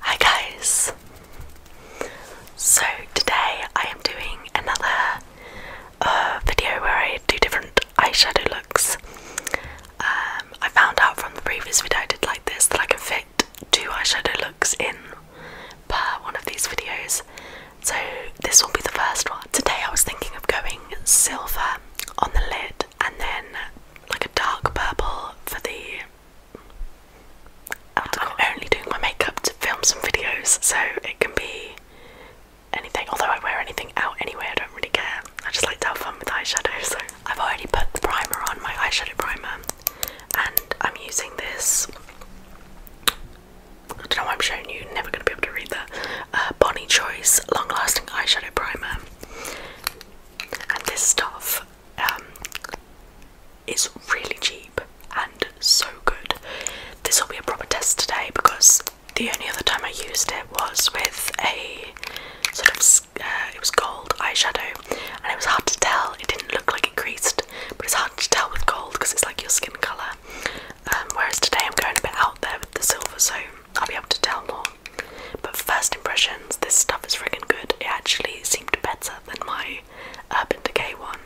Hi guys! So today I am doing another uh, video where I do different eyeshadow looks. Um, I found out from the previous video I did like this that I can fit two eyeshadow looks in per one of these videos. So this will be the first one. Today I was thinking of going silver on the lid and then like a dark purple for the I'm only doing my makeup to film some videos, so it can be anything. Although I wear anything out anyway, I don't really care. I just like to have fun with eyeshadow, so I've already put the primer on, my eyeshadow primer, and I'm using this. I don't know why I'm showing you, never gonna be able to read that. Uh, Bonnie Choice Long Lasting Eyeshadow Primer. And this stuff um, is really cheap and so good. This will be a proper test today because the only other time I used it was with a sort of uh, it was gold eyeshadow and it was hard to tell. It didn't look like it creased, but it's hard to tell with gold because it's like your skin color. Um, whereas today I'm going a bit out there with the silver, so I'll be able to tell more. But first impressions, this stuff is friggin' good. It actually seemed better than my Urban Decay one.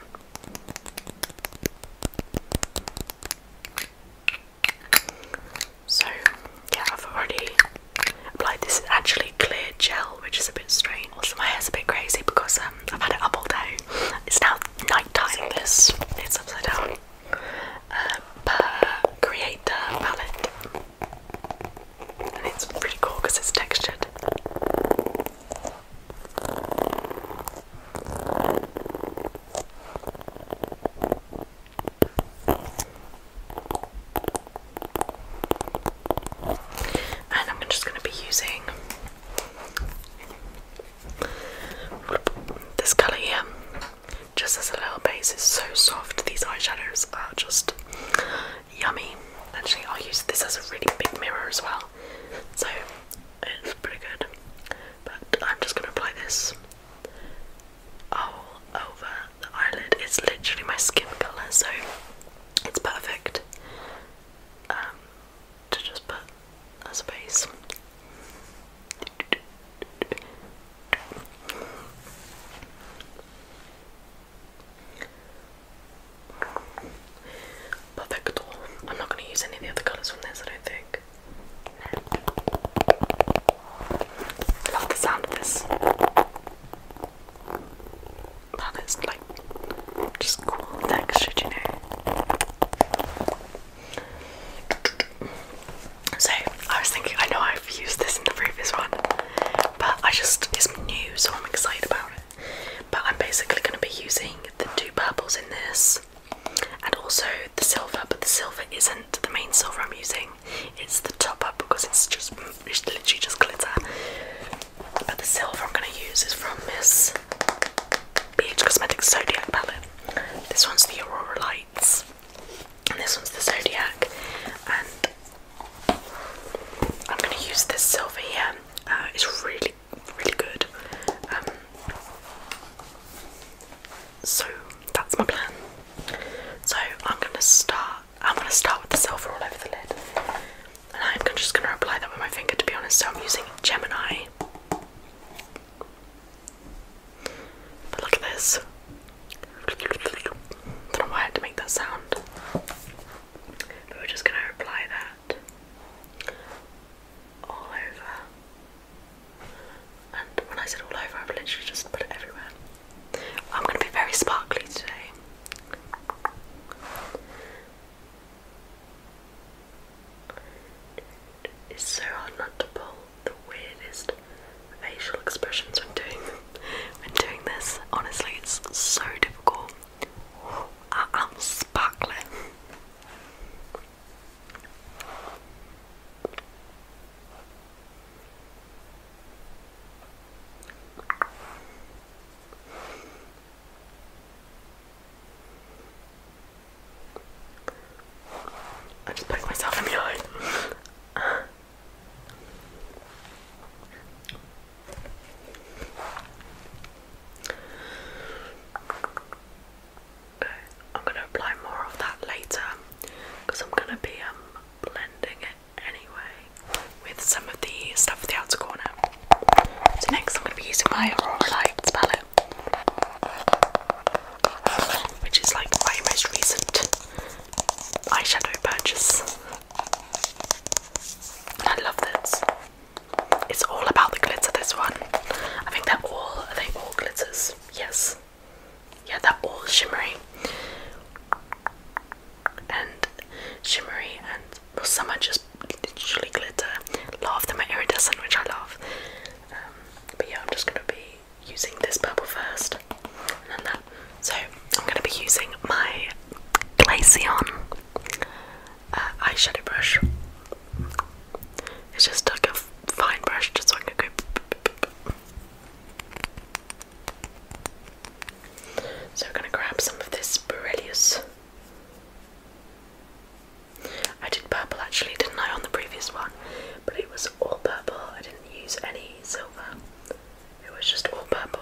So, yeah, I've already applied this. actually clear gel, which is a bit strange. Also, my hair's a bit crazy because um, I've had it up all day. It's now night time. This it's upside down. Uh, per creator palette it's pretty cool because it's textured. And I'm just going to be using this colour here just as a little base. It's so soft, these eyeshadows are just yummy. Actually, I'll use this as a really big mirror as well, so it's pretty good. But I'm just gonna apply this all over the eyelid. It's literally my skin color, so it's perfect um, to just put as a base. Perfecto. I'm not going to use any of the other colours from this, I don't think. Love the sound of this. That is like just cool texture, you know. So I was thinking, I know I I've used this in the previous one, but I just, it's new, so I'm excited about it. But I'm basically going to be using the two purples in this and also the silver, but the silver isn't the main silver I'm using, it's the top up because it's just it's literally just glitter. But the silver I'm going to use is from Miss BH Cosmetics Zodiac palette. This one's the Aurora Lights, and this one's the Zodiac, I'm going to use this silver here. Uh, it's really, really good. Um, so that's my plan. So I'm going to start. I'm going to start with the silver all over the lid, and I'm just going to apply that with my finger. To be honest, so I'm using Gemini. But look at this. Don't know why I had to make that sound. But we're just gonna apply that all over. And when I said all over, I've literally just put it everywhere. I'm gonna be very sparkly today. It's so hard not to pull the weirdest facial expressions when doing when doing this. Honestly, it's so difficult. I am sparkling. I just poked myself in the eye. Okay, I'm gonna apply more of that later because I'm gonna be um, blending it anyway with some of the stuff for the outer corner. So next I'm gonna be using my Aurora Lights palette. Which is like my most recent eyeshadow purchase. I love this. It's all about the glitter. This one, I think they're all are they all glitters? Yes, yeah, they're all shimmery and shimmery, and well, some are just literally glitter. A lot of them are iridescent, which I love. Um, but yeah, I'm just gonna be using this purple first, and that so I'm going to be using my Glaceon uh, eyeshadow brush. It's just like a fine brush, just so I can So I'm going to grab some of this Borelius. I did purple actually, didn't I, on the previous one? But it was all purple, I didn't use any silver. It was just all purple.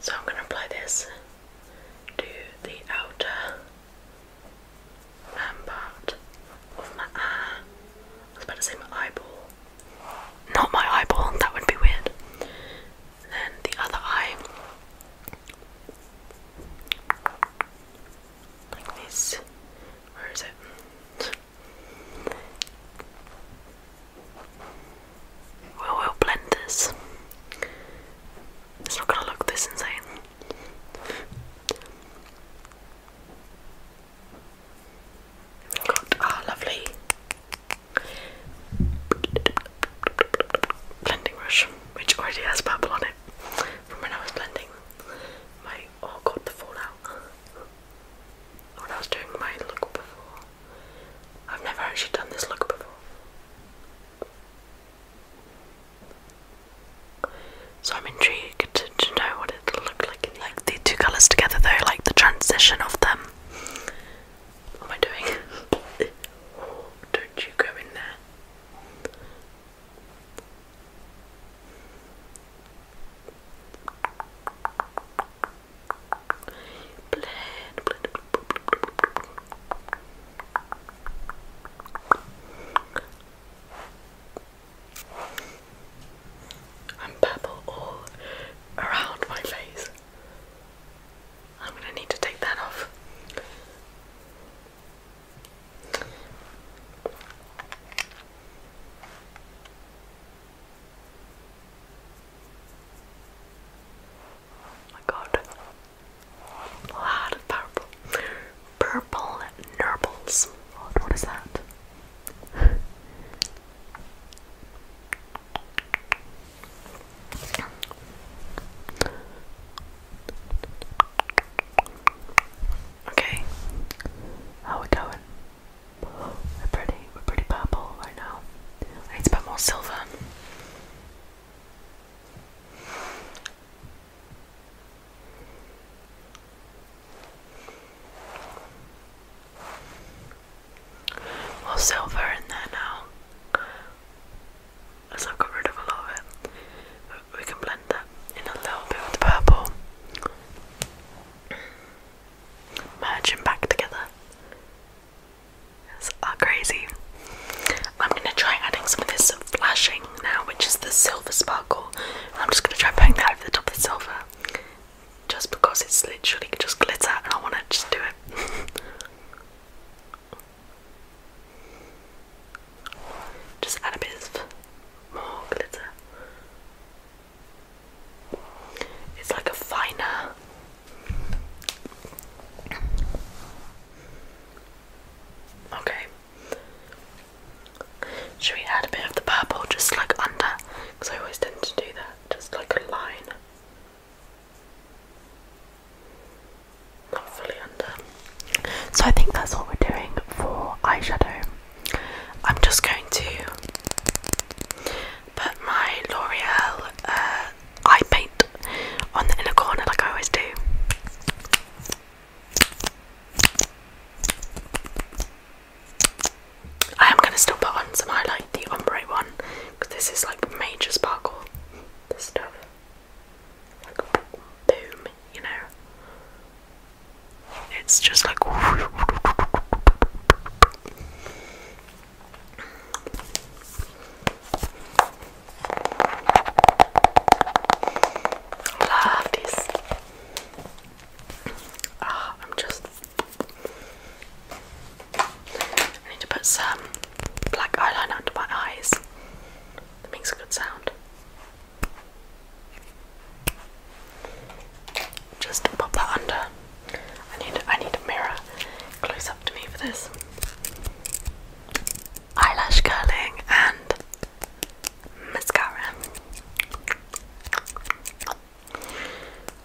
So I'm going to apply this to the outer um, part of my eye. I was about to say my eyeball. Not my eyeball, that would be weird. then the other eye. Like this. Where is it? We will blend this. It's not gonna look this insane. God, ah, lovely. Blending brush, which already has purple on it from when I was blending. My oh god, the fallout. What I was doing my look before. I've never actually done this look before. So I'm intrigued to, know what it'll look like. the two colours together though, like the transition of them. What am I doing? don't you go in there. Blend, blend, purple all around my face. I'm going to need to take that off. Oh my god. A lot purple. Purple nurbles. what is that? Okay. How we going? We're pretty, we're pretty purple right now. I need to put more silver. More silver in there now. I've got rid of a lot of it. We can blend that in a little bit with purple merge them back together. It's uh, crazy. I'm gonna try adding some of this flashing now, which is the silver sparkle. I'm just gonna try putting that over the top of the silver, just because it's literally just glitter, and I wanna just do it. just add a bit more glitter. It's like a finer. Okay. Should we add a bit of the purple just like under? Because I always tend to do that, just like a line. Not fully under. So I think that's what we're doing for eyeshadow. I'm just going to Put my L'Oreal uh, eye paint on the inner corner like I always do. I am going to still put on some highlight, the ombre one, because this is like major sparkle. stuff. boom, you know. It's just like. Love this. Ah, I'm just. I need to put some black eyeliner under my eyes. That makes a good sound just pop that under. I need I need a mirror close up to me for this. Eyelash curling and mascara.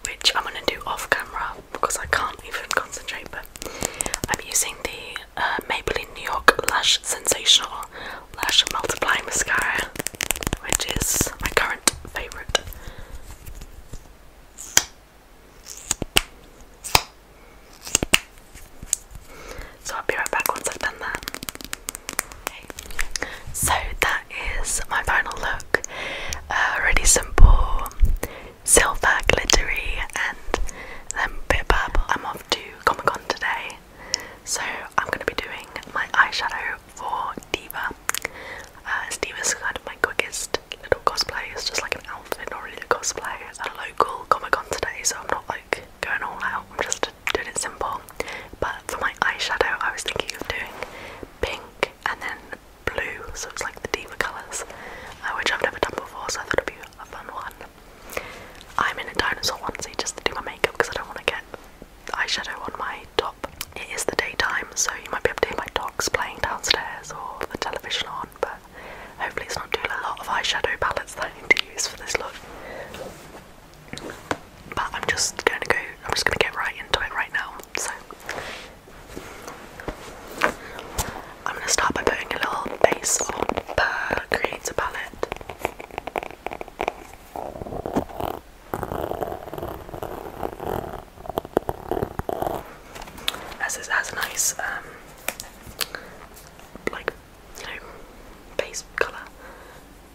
Which I'm gonna do off camera because I can't even concentrate, but I'm using the uh, Maybelline New York Lash Sensational Lash Multiplying Mascara, which is my current favourite. So I'll be right back once I've done that. So that is my final look. Uh, really simple, silver, glittery, and then bit purple. I'm off to Comic Con today, so I'm going to be doing my eyeshadow for Diva. Uh, Diva is kind of my quickest little cosplay. It's just like an outfit, not really a cosplay. It's a local Comic Con today, so I'm not like going all out. I'm just doing it simple. But for my eyeshadow, I was thinking of doing pink and then blue, so it's like the Diva colours, uh, which I've never done before, so I thought it'd be a fun one. I'm in a dinosaur onesie just to do my makeup because I don't want to get eyeshadow on my it is the daytime, so you might be able to hear my dogs playing downstairs or the television on, but hopefully it's not too a lot of eyeshadow palettes that I need to use for this look. But I'm just gonna go I'm just gonna get right into it right now. So I'm gonna start by putting a little base on the creator palette. As it has a nice, um, like you know, base colour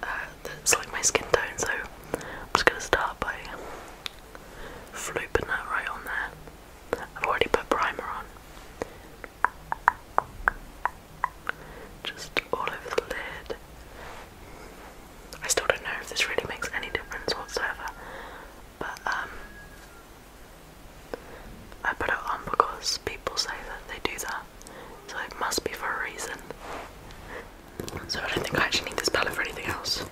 uh, that's like my skin tone. So I'm just gonna start by flooping that right on there. I've already put primer on. Just all over the lid, I still don't know if this really makes any difference whatsoever, but um, I put it on because people say that they do that, so it must be for a reason. So I don't think I actually need this palette for anything else.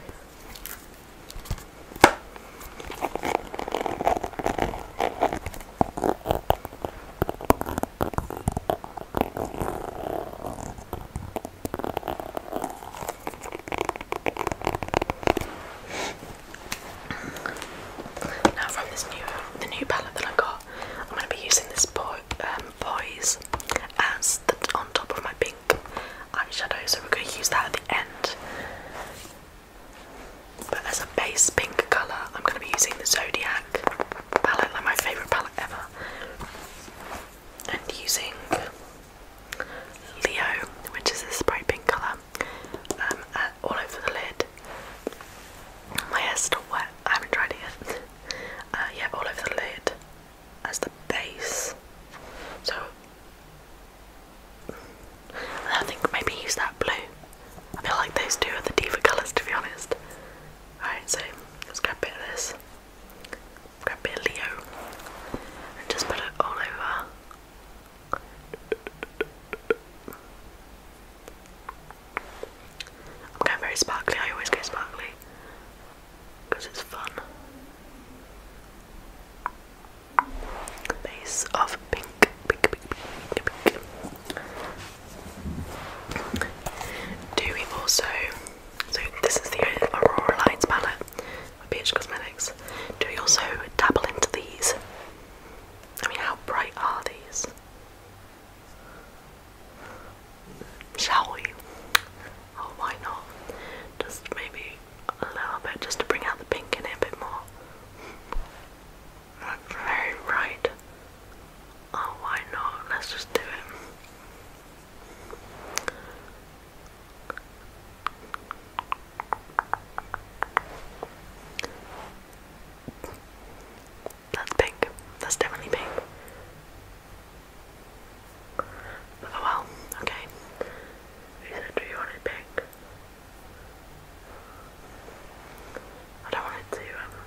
Now from this new the new palette that I got, I'm gonna be using this boy um, boys as the on top of my pink eyeshadow, so we're gonna use that at the end. But as a base pink colour, I'm gonna be using the Zodiac palette, like my favourite palette ever. And using Leo, which is a spray pink colour, um, uh, all over the lid. My hair's still wet, I haven't tried it yet. Uh, yeah, all over the lid as the base. So, I think maybe use that blue. I feel like those two are the deeper colours to be honest. Alright, so let's grab a bit of this a Grabilio and just put it all over. I'm going very sparkly, I always go sparkly because it's fun. Base of pink, pink, pink, pink, pink. Do we also so this is the Aurora Lights palette by BH Cosmetics. Do we also dabble into these? I mean, how bright are these? Shall we? Oh, why not? Just maybe a little bit, just to bring out the pink in it a bit more. very bright. Oh, why not? Let's just do it. That's pink. That's definitely pink. Oh well, okay. Who said do you want it pink? I don't want it to um,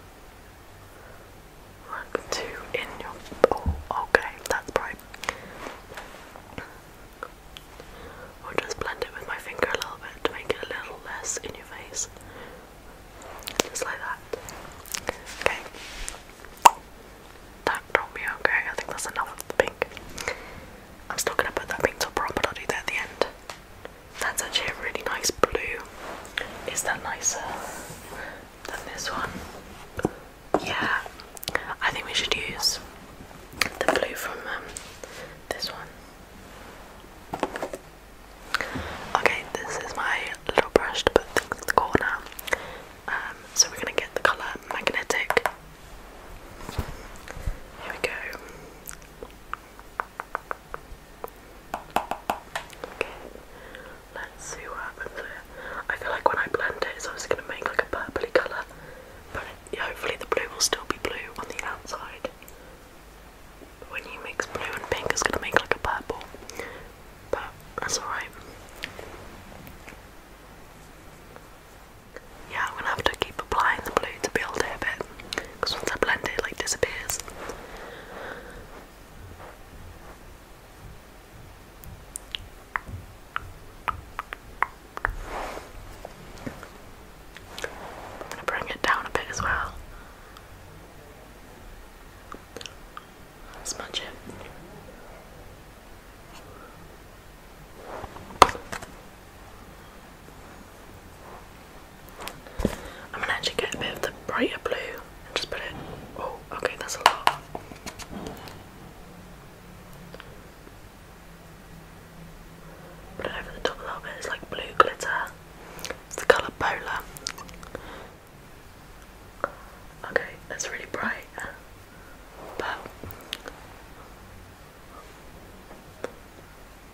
Look, two in your. Oh, okay, that's bright. i just blend it with my finger a little bit to make it a little less in your face. Just like that. Okay. That okay. I think that's enough of the pink. I'm still gonna put that pink top on, but I'll do that at the end. That's actually a really nice blue. Is that nicer than this one? Yeah, I think we should use the blue from um, this one. Okay, this is my little brush to put in the corner. Um, so we're gonna get the colour magnetic. Here we go. Okay. Let's see what happens here. I feel like when I blend it, it's obviously going to make like a purpley colour, but hopefully the blue will still be blue on the outside. when you mix blue and pink, it's going to make like a purple, but that's alright. Yeah, I'm going to have to keep applying the blue to build it a bit, because once I blend it like disappears bring it down a bit as well. Smudge it. I'm gonna actually get a bit of the brighter blue just put it. Oh, okay, that's a lot. Put it over the top a little bit, it's like blue glitter. It's the colour Polar. Okay, that's really bright. But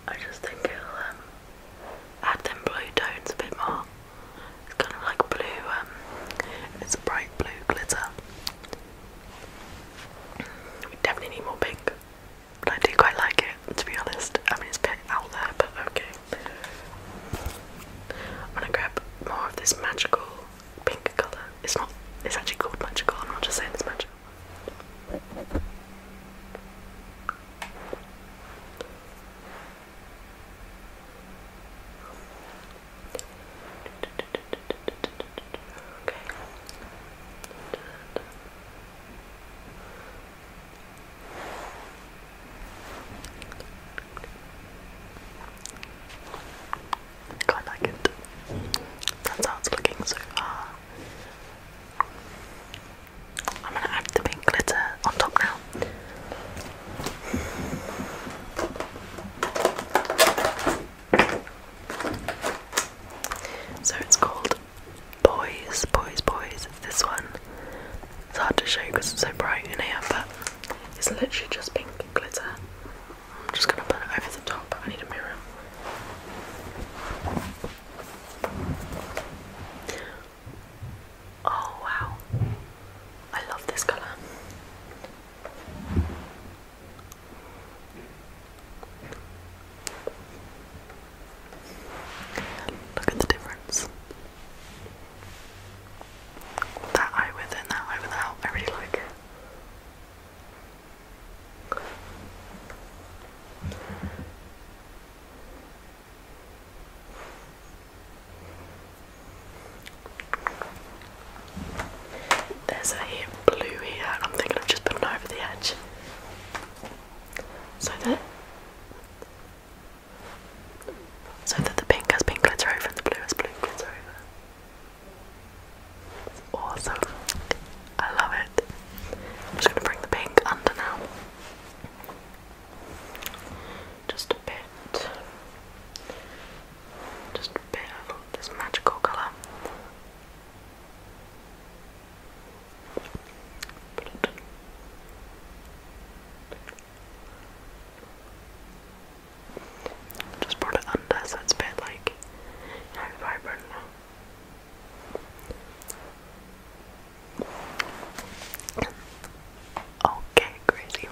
I just think it'll um, add them blue tones a bit more. It's kind of like blue, um, it's a bright blue glitter. We definitely need more pink, but I do quite like it, to be honest. I mean, it's a out there, but okay. I'm gonna grab more of this magical pink colour. It's not, it's actually called magical, I'm not just saying it's magical. Okay. I like it. That's how it's looking so far. I'm gonna add the pink glitter on top now. So it's called Boys, Boys, Boys. It's this one. It's hard to show because it's so bright in here, but it's literally just pink glitter. I'm just gonna put it over the top. I need a mirror. Oh wow. I love this colour. Look at the difference. That eye with and that eye without. I really like it. There's a blue here, and I'm thinking of just putting it over the edge. So that so that the pink has pink glitter over and the blue has blue glitter over. awesome. I love it. I'm just gonna bring the pink under now. Just a bit. Just a bit of this magical colour. Just brought it under so it's a bit like you vibrant Okay, crazy.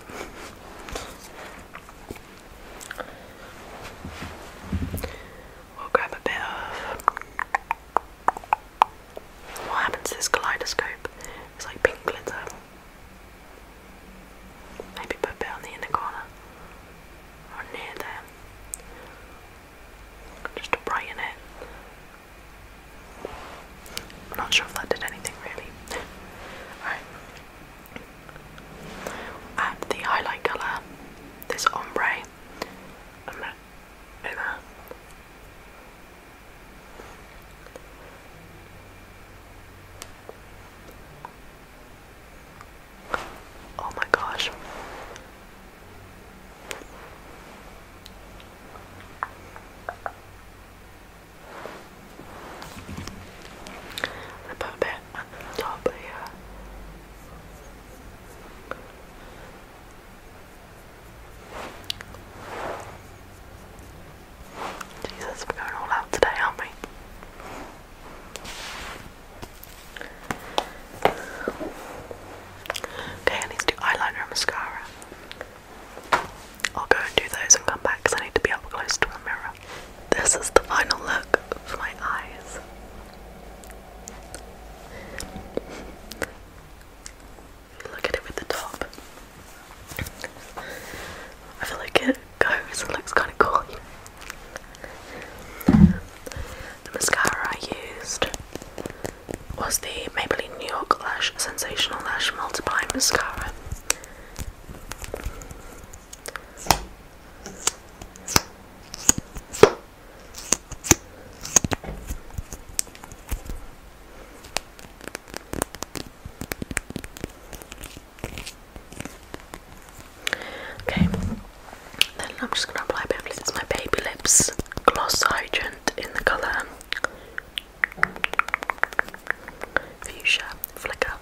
We'll grab a bit of. What happens to this kaleidoscope? It's like pink glitter. Maybe put a bit on the inner corner or near there, just to brighten it. I'm not sure if that did anything really. Alright, and the highlight colour, this ombre, Oh my gosh. I put a bit on the top here. Jesus, we're going all out today, aren't we? Okay, I need to do eyeliner and mascara. I'll go and do those and come back because I need to be up close to the mirror. This is the final look for my eyes. Look at it with the top. I feel like it goes and looks kind of cool. The mascara I used was the Maybelline New York Lash Sensational Lash Multiplying Mascara. Okay, then I'm just going to apply a bit It's my Baby Lips Gloss Hydrant in the colour fuchsia, flicker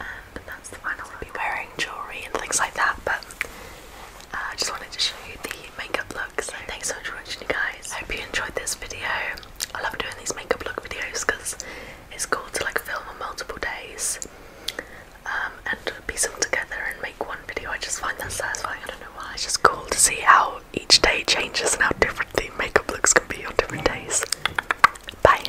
and um, that's the final I'll be wearing jewellery and things like that, but uh, I just wanted to show you the makeup look. So thanks so much for watching, you guys. I hope you enjoyed this video. I love doing these makeup look videos because it's cool to like film on multiple days um, and piece them together and make one video. I just find that satisfying. I don't know why. It's just cool to see how each day changes and how different the makeup looks can be on different days. Bye.